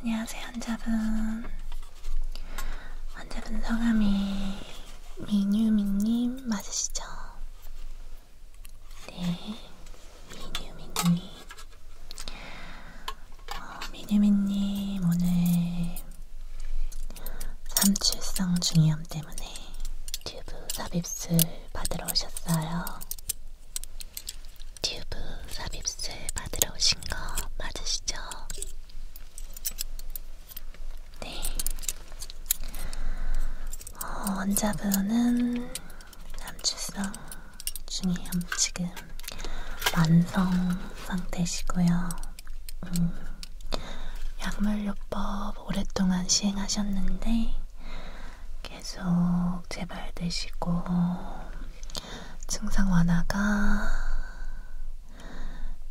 안녕하세요 환자분 환자분 성함이 민유미님 맞으시죠? 네 민유미님 어, 민유미님 오늘 삼출성 중이염 때문에 튜브 삽입술 받으러 오셨어요. 튜브 삽입술 받으러 오신 거 맞으시죠? 네. 어, 원자분은 암출성 중이염 지금 만성 상태시고요. 음, 약물요법 방법 오랫동안 시행하셨는데 계속 제발 드시고 증상 완화가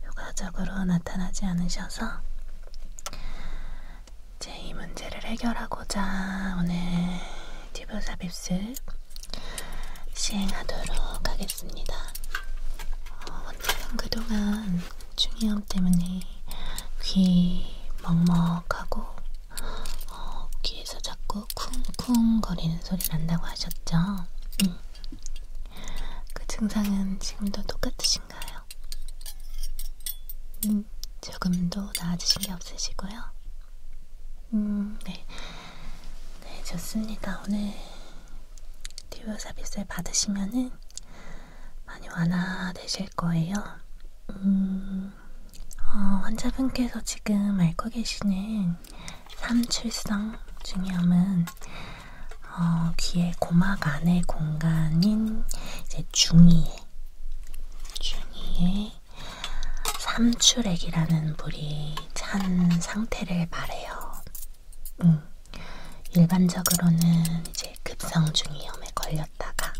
효과적으로 나타나지 않으셔서 이제 이 문제를 해결하고자 오늘 튜브 삽입술 시행하도록 하겠습니다. 어, 원장은 그동안 충이염 때문에 귀 먹먹하고 어, 귀에서 자꾸 쿵쿵 거리는 소리 난다고 하셨죠? 음. 그 증상은 지금도 똑같으신가요? 음, 조금도 나아지신 게 없으시고요? 음, 네. 네, 좋습니다. 오늘 듀오 서비스를 받으시면은 많이 완화되실 거예요. 음, 어, 환자분께서 지금 앓고 계시는 삼출성 중이염은 어, 귀의 고막 안의 공간인 이제 중이에, 중이에 삼출액이라는 물이 찬 상태를 말해요. 음, 일반적으로는 이제 급성중이염에 걸렸다가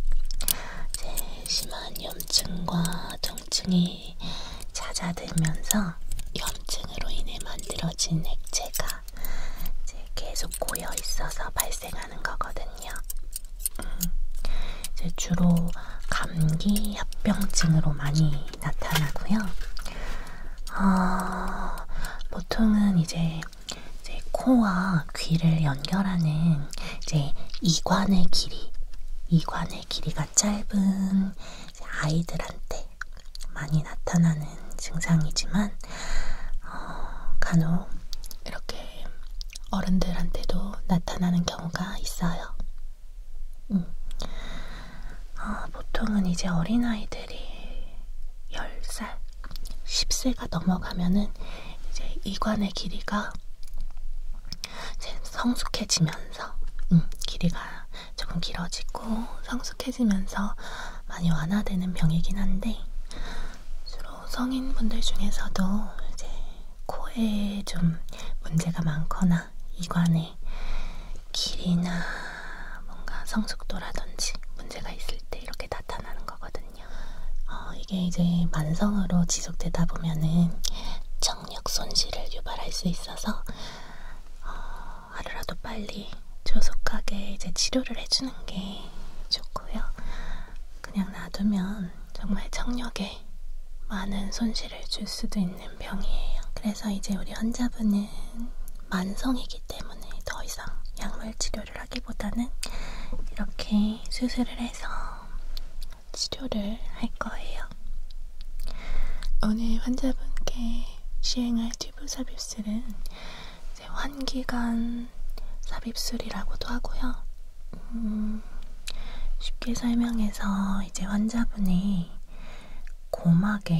이제 심한 염증과 통증이 찾아들면서 염증으로 인해 만들어진 액체가 이제 계속 고여 있어서 발생하는 거거든요. 음, 이제 주로 감기 합병증으로 많이 나타나고요. 어, 보통은 이제 이제 코와 귀를 연결하는 이제 이관의 길이, 이관의 길이가 짧은 아이들한테 많이 나타나는 증상이지만 어, 간혹 이렇게 어른들한테도 나타나는 경우가 있어요. 음. 어, 보통은 이제 어린아이들이 10살, 10세가 넘어가면은 이제 이관의 길이가 이제 성숙해지면서 음, 길이가 조금 길어지고 성숙해지면서 많이 완화되는 병이긴 한데 주로 성인분들 중에서도 이제 코에 좀 문제가 많거나 이관의 길이나 뭔가 성숙도라든지 문제가 있을 때 이렇게 나타나는 거거든요. 어, 이게 이제 만성으로 지속되다 보면은 청력 손실을 유발할 수 있어서 어, 하루라도 빨리 조속하게 이제 치료를 해주는 게 좋고요. 그냥 놔두면 정말 청력에 많은 손실을 줄 수도 있는 병이에요. 그래서 이제 우리 환자분은 만성이기 때문에 더 이상 약물 치료 진료를 하기보다는 이렇게 수술을 해서 치료를 할 거예요. 오늘 환자분께 시행할 튜브 삽입술은 이제 환기관 삽입술이라고도 하고요. 음, 쉽게 설명해서 이제 환자분이 고막에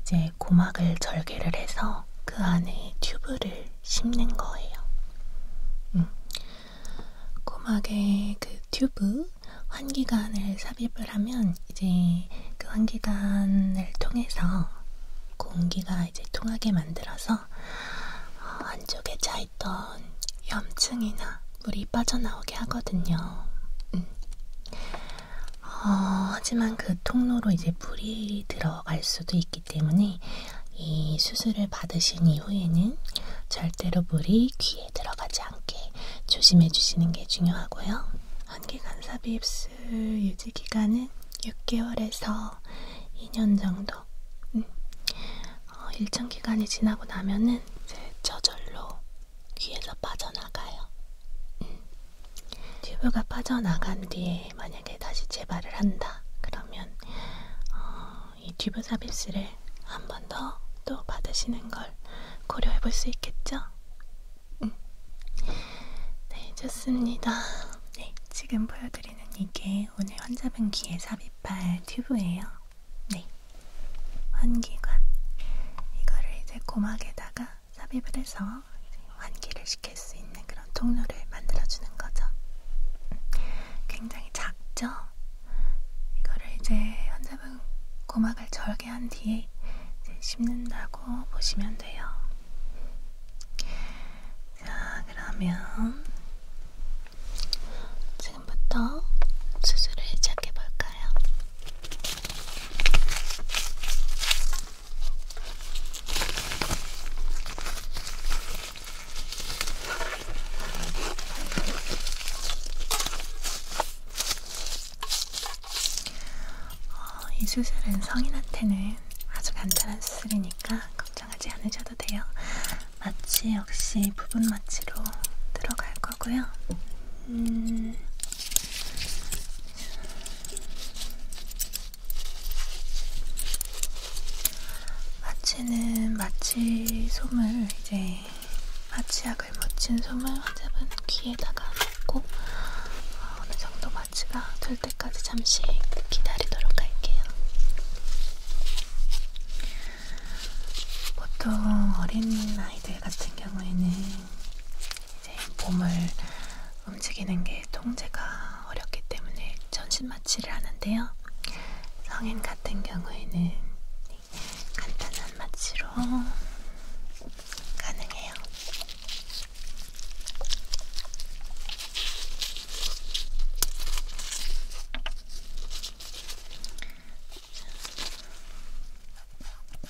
이제 안에 고막을 절개를 해서 그 안에 튜브를 심는 거예요. 음. 고막에 그 튜브 환기관을 삽입을 하면 이제 그 환기관을 통해서 공기가 이제 통하게 만들어서 어, 안쪽에 차있던 염증이나 물이 빠져나오게 하거든요. 음. 어, 하지만 그 통로로 이제 물이 들어갈 수도 있기 때문에 이 수술을 받으신 이후에는 절대로 물이 귀에 들어가지 않게 조심해 주시는 게 중요하고요. 한계간사비 입술 유지 기간은 6개월에서 2년 정도. 음. 어, 일정 기간이 지나고 나면은 이제 저절로 귀에서 빠져나가요. 음. 튜브가 빠져나간 뒤에 만약에 다시 재발을 한다 그러면 어, 이 튜브 삽입술을 한 번 더 또 받으시는 걸 고려해 볼 수 있겠죠? 음. 네 좋습니다. 네 지금 보여드리는 이게 오늘 환자분 귀에 삽입할 튜브예요. 네 환기관 이거를 이제 고막에다가 삽입을 해서 환기를 시킬 수 있는 그런 통로를 만들어주는 거죠. 굉장히 작죠? 이거를 이제 환자분 고막을 절개한 뒤에 이제 심는다고 보시면 돼요. 자, 그러면 지금부터 수술을 시작해 볼까요? 어, 이 수술은 성인한테는 아주 간단한 수술이니까 걱정하지 않으셔도 돼요. 마취 역시 부분 마취로 들어갈 거고요. 음, 마취는 마취 솜을 이제 마취약을 묻힌 솜을 환자분 귀에다가 넣고 아, 어느 정도 마취가 될 때까지 잠시 기다리도록 할게요. 보통 어린 아이들 같은 경우에는 이제 몸을 움직이는 게 통제가 어렵기 때문에 전신 마취를 하는데요. 성인 같은 경우에는 간단한 마취로 가능해요. 자,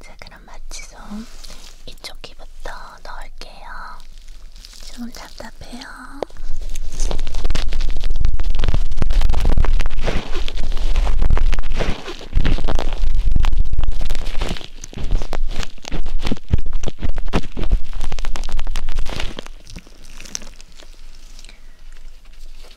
자, 그럼 마취솜 이쪽 귀부터 넣을게요. 좀 답답해요.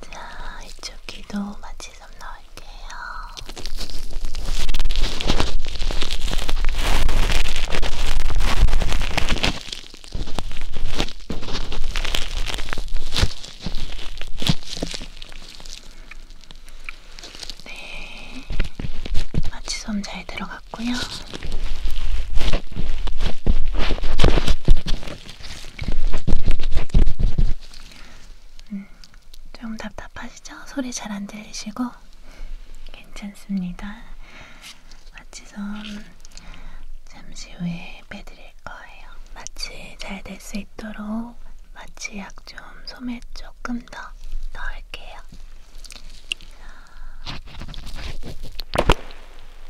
자, 이쪽 귀도 마취 좀 넣을게요. 네, 마취솜 잘 들어갔고요. 음, 좀 답답하시죠? 소리 잘 안 들리시고? 괜찮습니다. 마취선 잠시 후에 빼드릴 거예요. 마취 잘 될 수 있도록 마취약 좀 소매 조금 더 넣을게요. 자.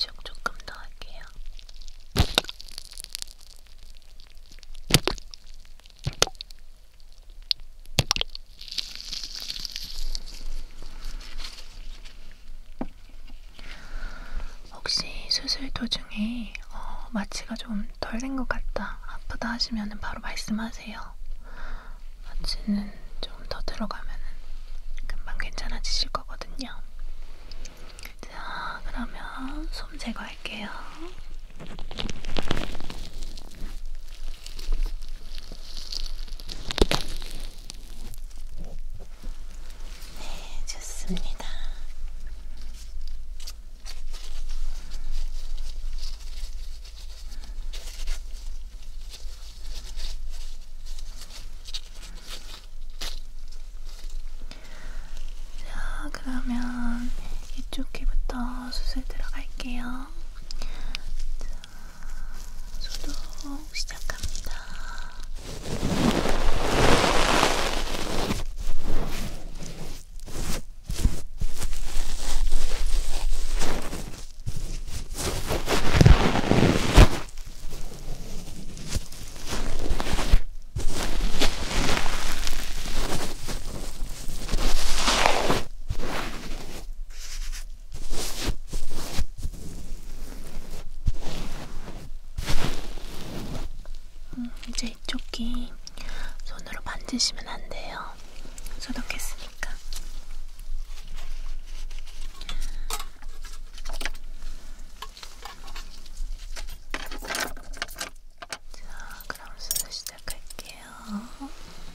이쪽 조금 더 할게요. 혹시 수술 도중에 어, 마취가 좀 덜 된 것 같다, 아프다 하시면 바로 말씀하세요. 마취는 좀 더 들어가면 금방 괜찮아지실 거거든요. 자, 그러면 솜 제거할게요. 네, 좋습니다. 자, 그러면 이쪽 귀부터 수술 들어갈게요. 자, 소독 시작합니다. 음, 이제 이쪽 귀 손으로 만지시면 안 돼요. 소독했으니까. 자, 그럼 수술 시작할게요.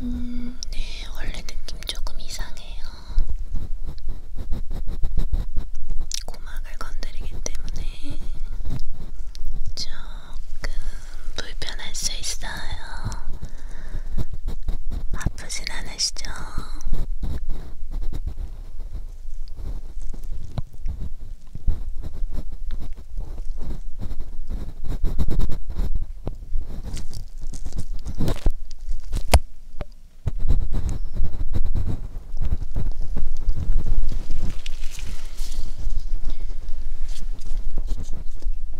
음, 네, 원래 느낌 조금 이상해요. 고막을 건드리기 때문에 조금 불편할 수 있어요. 아프진 않으시죠?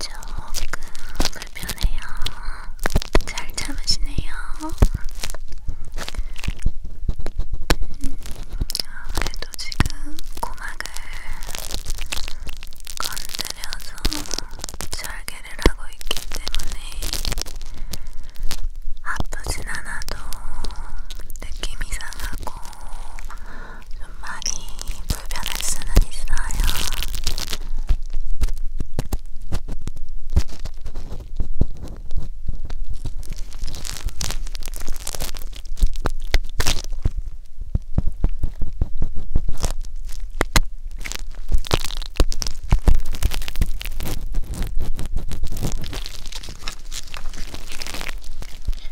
조금 네, 불편해요. 잘 참으시네요. 음, 아, 그래도 지금 고막을 건드려서 절개를 하고 있기 때문에 아프진 않아도 느낌 이상하고 좀 많이 불편할 수는 있어요.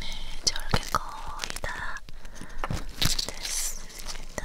네, 저렇게 거의 다 됐습니다.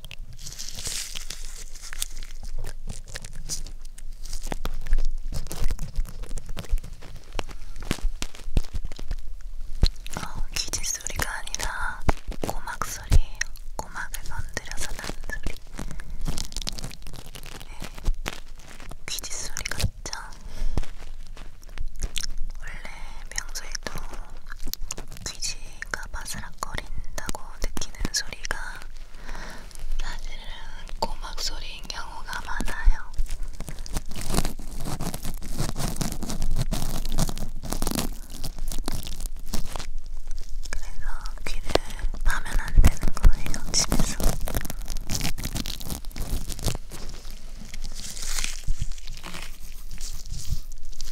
어, 기지 소리가 아니라 고막 소리예요. 고막을 건드려서 나는 소리. 네. 귀지 소리 같죠? 원래 평소에도 귀지가 바스락거린다고 느끼는 소리가 사실은 고막 소리인 경우가 많아요. 그래서 귀를 파면 안 되는 거예요, 집에서.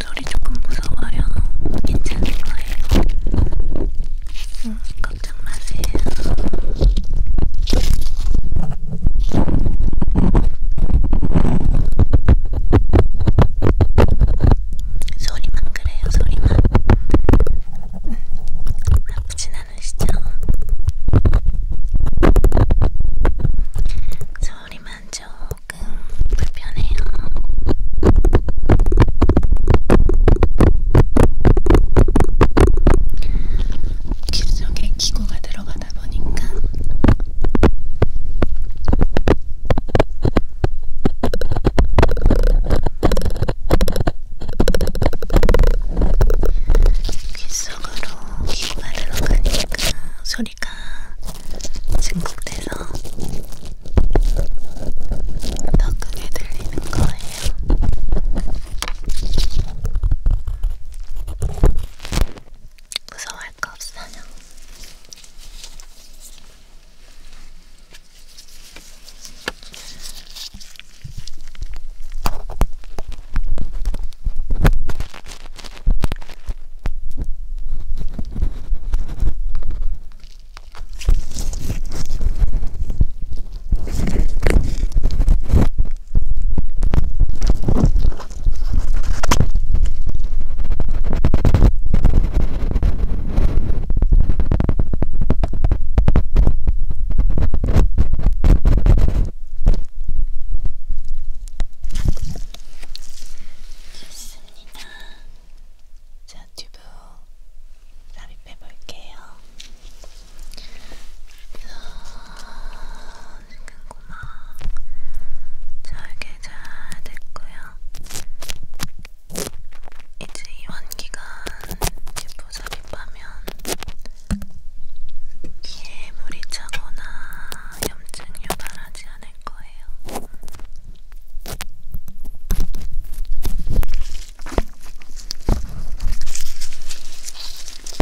소리 조금 무서워요. 괜찮을 거예요. 응, 음, 걱정 마세요. 소리만 그래요, 소리만. 음, 나쁘진 않으시죠? 소리만 조금 불편해요. 귀 속에 기구가 들어가서 하다 보니까 귓속으로 귀받으러 가니까 소리가 증폭돼서 더 크게 들리는 거예요. 무서워요. 할거 없어요. 좋습니다. 자, 튜브 삽입해 볼게요. 생겼구나. 잘게 잘 됐고요. 이제 이완기간 제포 삽입하면 귀에 물이 차거나 염증 유발하지 않을 거예요.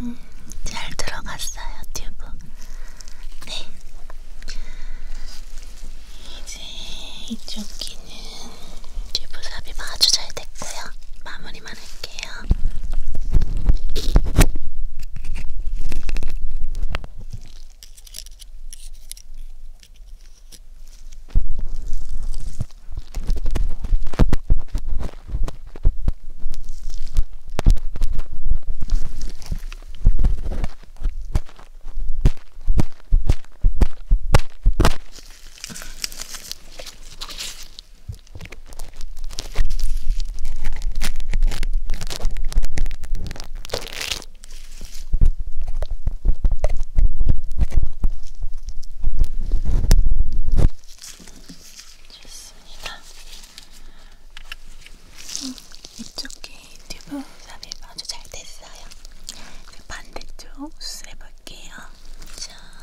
음, 잘 들어갔어요, 튜브. 네. 이제 이쪽 귀. 여기는 피부 삽입 아주 잘 됐고요. 마무리만 할게요. 좋습니다. 음, 이쪽 귀 튜브 삽입 아주 잘 됐어요. 그 반대쪽 수술해볼게요. 자.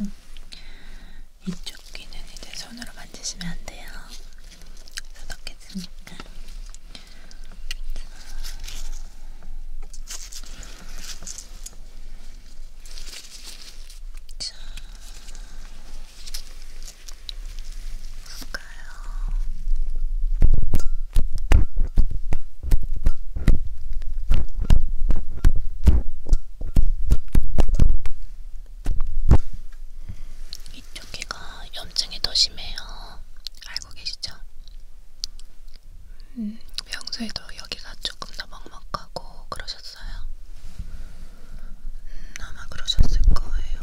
음. 이쪽 귀는 이제 손으로 만지시면 안 돼요. 소독했으니까. 자. 이쪽 귀가 염증이 더 심해요. 알고 계시죠? 음, 평소에도 여기가 조금 더 먹먹하고 그러셨어요. 음, 아마 그러셨을 거예요.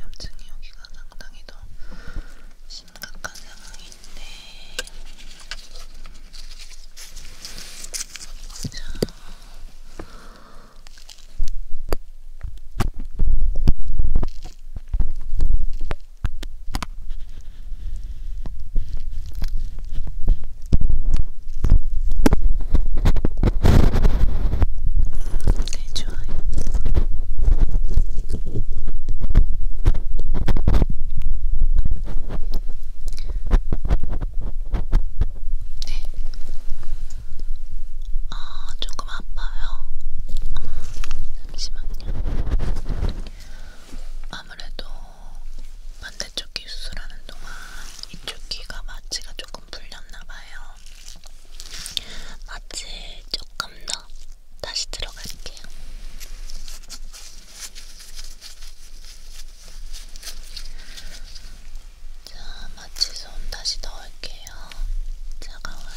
염증이 여기가 상당히 더 심각한 상황인데. 자. 네, 좋아요. 네. 아, 조금 아파요. 잠시만요. 아무래도 반대쪽 귀 수술하는 동안 이쪽 귀가 마취가 조금 조금 풀렸나봐요. 마취 조금 더 다시 들어갈게요. 자, 마취 손 다시 넣을게요. 차가워요.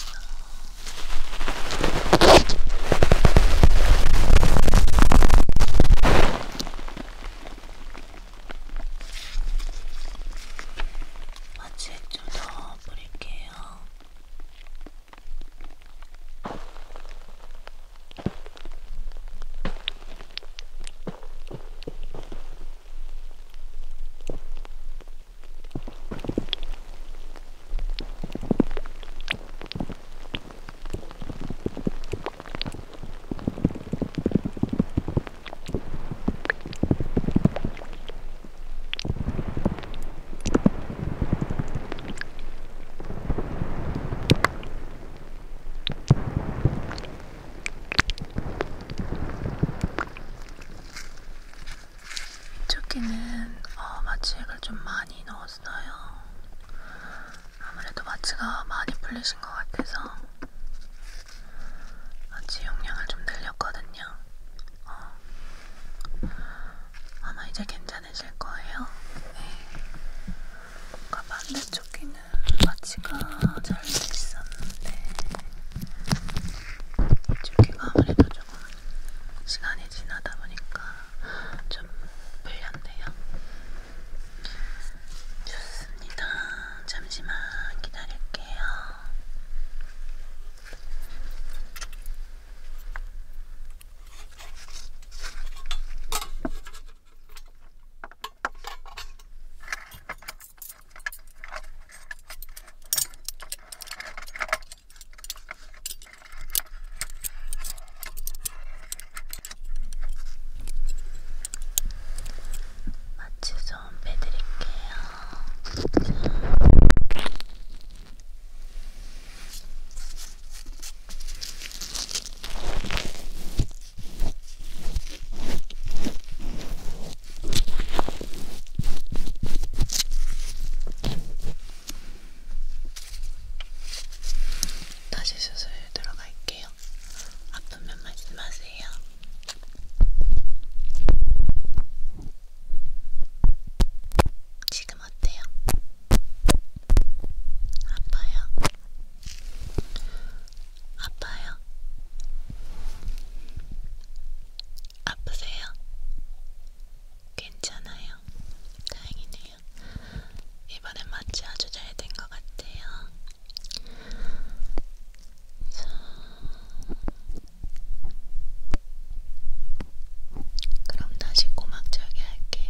마취액 좀더 뿌릴게요. 이쪽에는 어, 마취액을 좀 많이 넣었어요. 아무래도 마취가 많이 풀리신 것 같아서. 아직 용량을 좀 늘렸거든요. 어. 아마 이제 괜찮으실 거예요. 네. 뭔가 반대쪽 귀는 마취가 잘돼 있었는데 이쪽 귀가 아무래도 조금 시간이 지나다 보니까 좀 풀렸네요. 좋습니다. 잠시만 기다릴게요. 마취 좀 빼드릴게요. 자. 다시 수술 들어갈게요. 아프면 맞지 마세요. 지금 어때요? 아파요? 아파요? 아프세요? 괜찮아요. 다행이네요. 이번엔 마취 아주 잘 된 것 같아요. 자. 그럼 다시 고막 저기 할게요.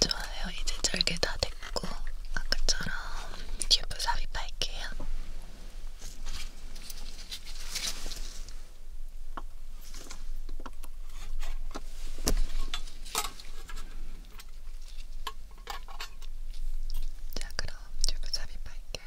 좋아요. 이제 절개 다 됐고 아까처럼 튜브 삽입할게요. 자, 그럼 튜브 삽입할게요.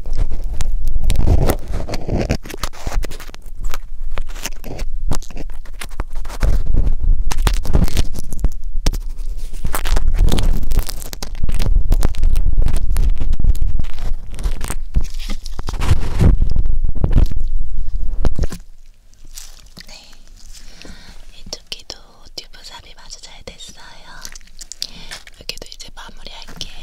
네, 이쪽기도 튜브 사이 삽입 아주 잘 됐어요. 여기도 이제 마무리할게요.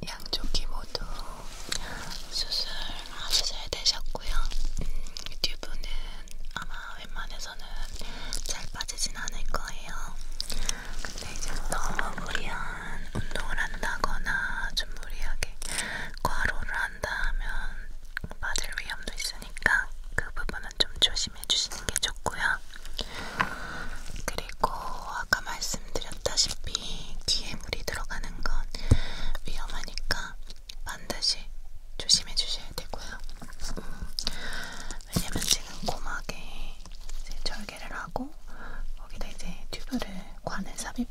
네, 양쪽이 모두 수술 하셔야 되셨고요. 음, 유튜브는 아마 웬만해서 중에서는 잘 빠지진 않을 거예요. 근데 이제 너무 무리한 운동을 한다거나 좀 무리하게 과로를 한다면 빠질 위험도 있으니까 그 부분은 좀 조심해 주시는 게 좋고요. 그리고 아까 말씀드렸다시피 귀에 물이 들어가는 건 위험하니까 반드시 조심해 주셔야 되고요. 음, 왜냐면 지금 고막에 이제 절개를 하고 거기다 이제 튜브를 관을 삽입해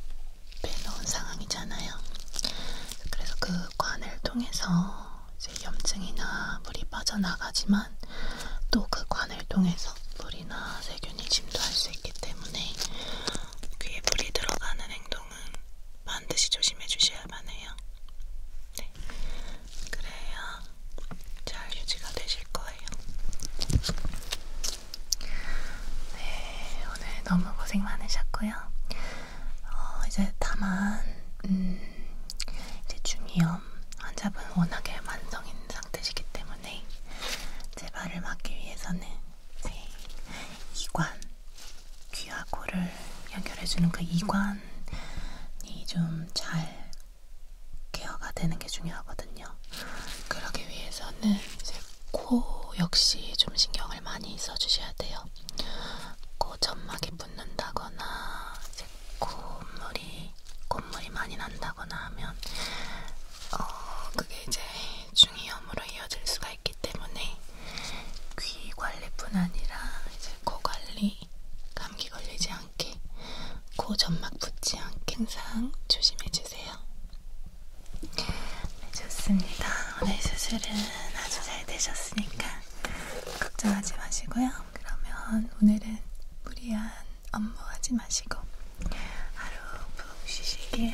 놓은 상황이잖아요. 그래서 그 관을 통해서 이제 염증이나 물이 빠져나가지만 또 그 관을 통해서 물이나 세균이 침투할 수 있기 때문에 귀에 물이 들어가는 행동은 반드시 조심해 주셔야만 해요. 네. 그래야 잘 유지가 되실 거예요. 네, 오늘 너무 고생 많으셨고요. 어, 이제 다만 음, 이제 중이염 환자분 워낙에 만성인 상태시기 때문에 재발을 막기 위해서는 제 네, 이관 귀하고를 연결해주는 그 이관이 좀잘 케어가 되는 게 중요하거든요. 그러기 위해서는 이제 코 역시 좀 신경을 많이 써주셔야 돼요. 코 점막이 붓는다거나 이제 콧물이 콧물이 많이 난다거나 하면 어 그게 이제 중이염으로 이어질 수가 있기 때문에 귀 관리뿐 아니라 이제 코 관리 감기 걸리지 않게, 코 점막 붙지 않게 항상 조심해주세요. 네, 좋습니다. 오늘 수술은 아주 잘 되셨으니까 걱정하지 마시고요. 그러면 오늘은 무리한 업무하지 마시고 하루 푹 쉬시길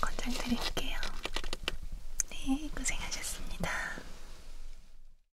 권장드릴게요. 네, 고생하셨습니다.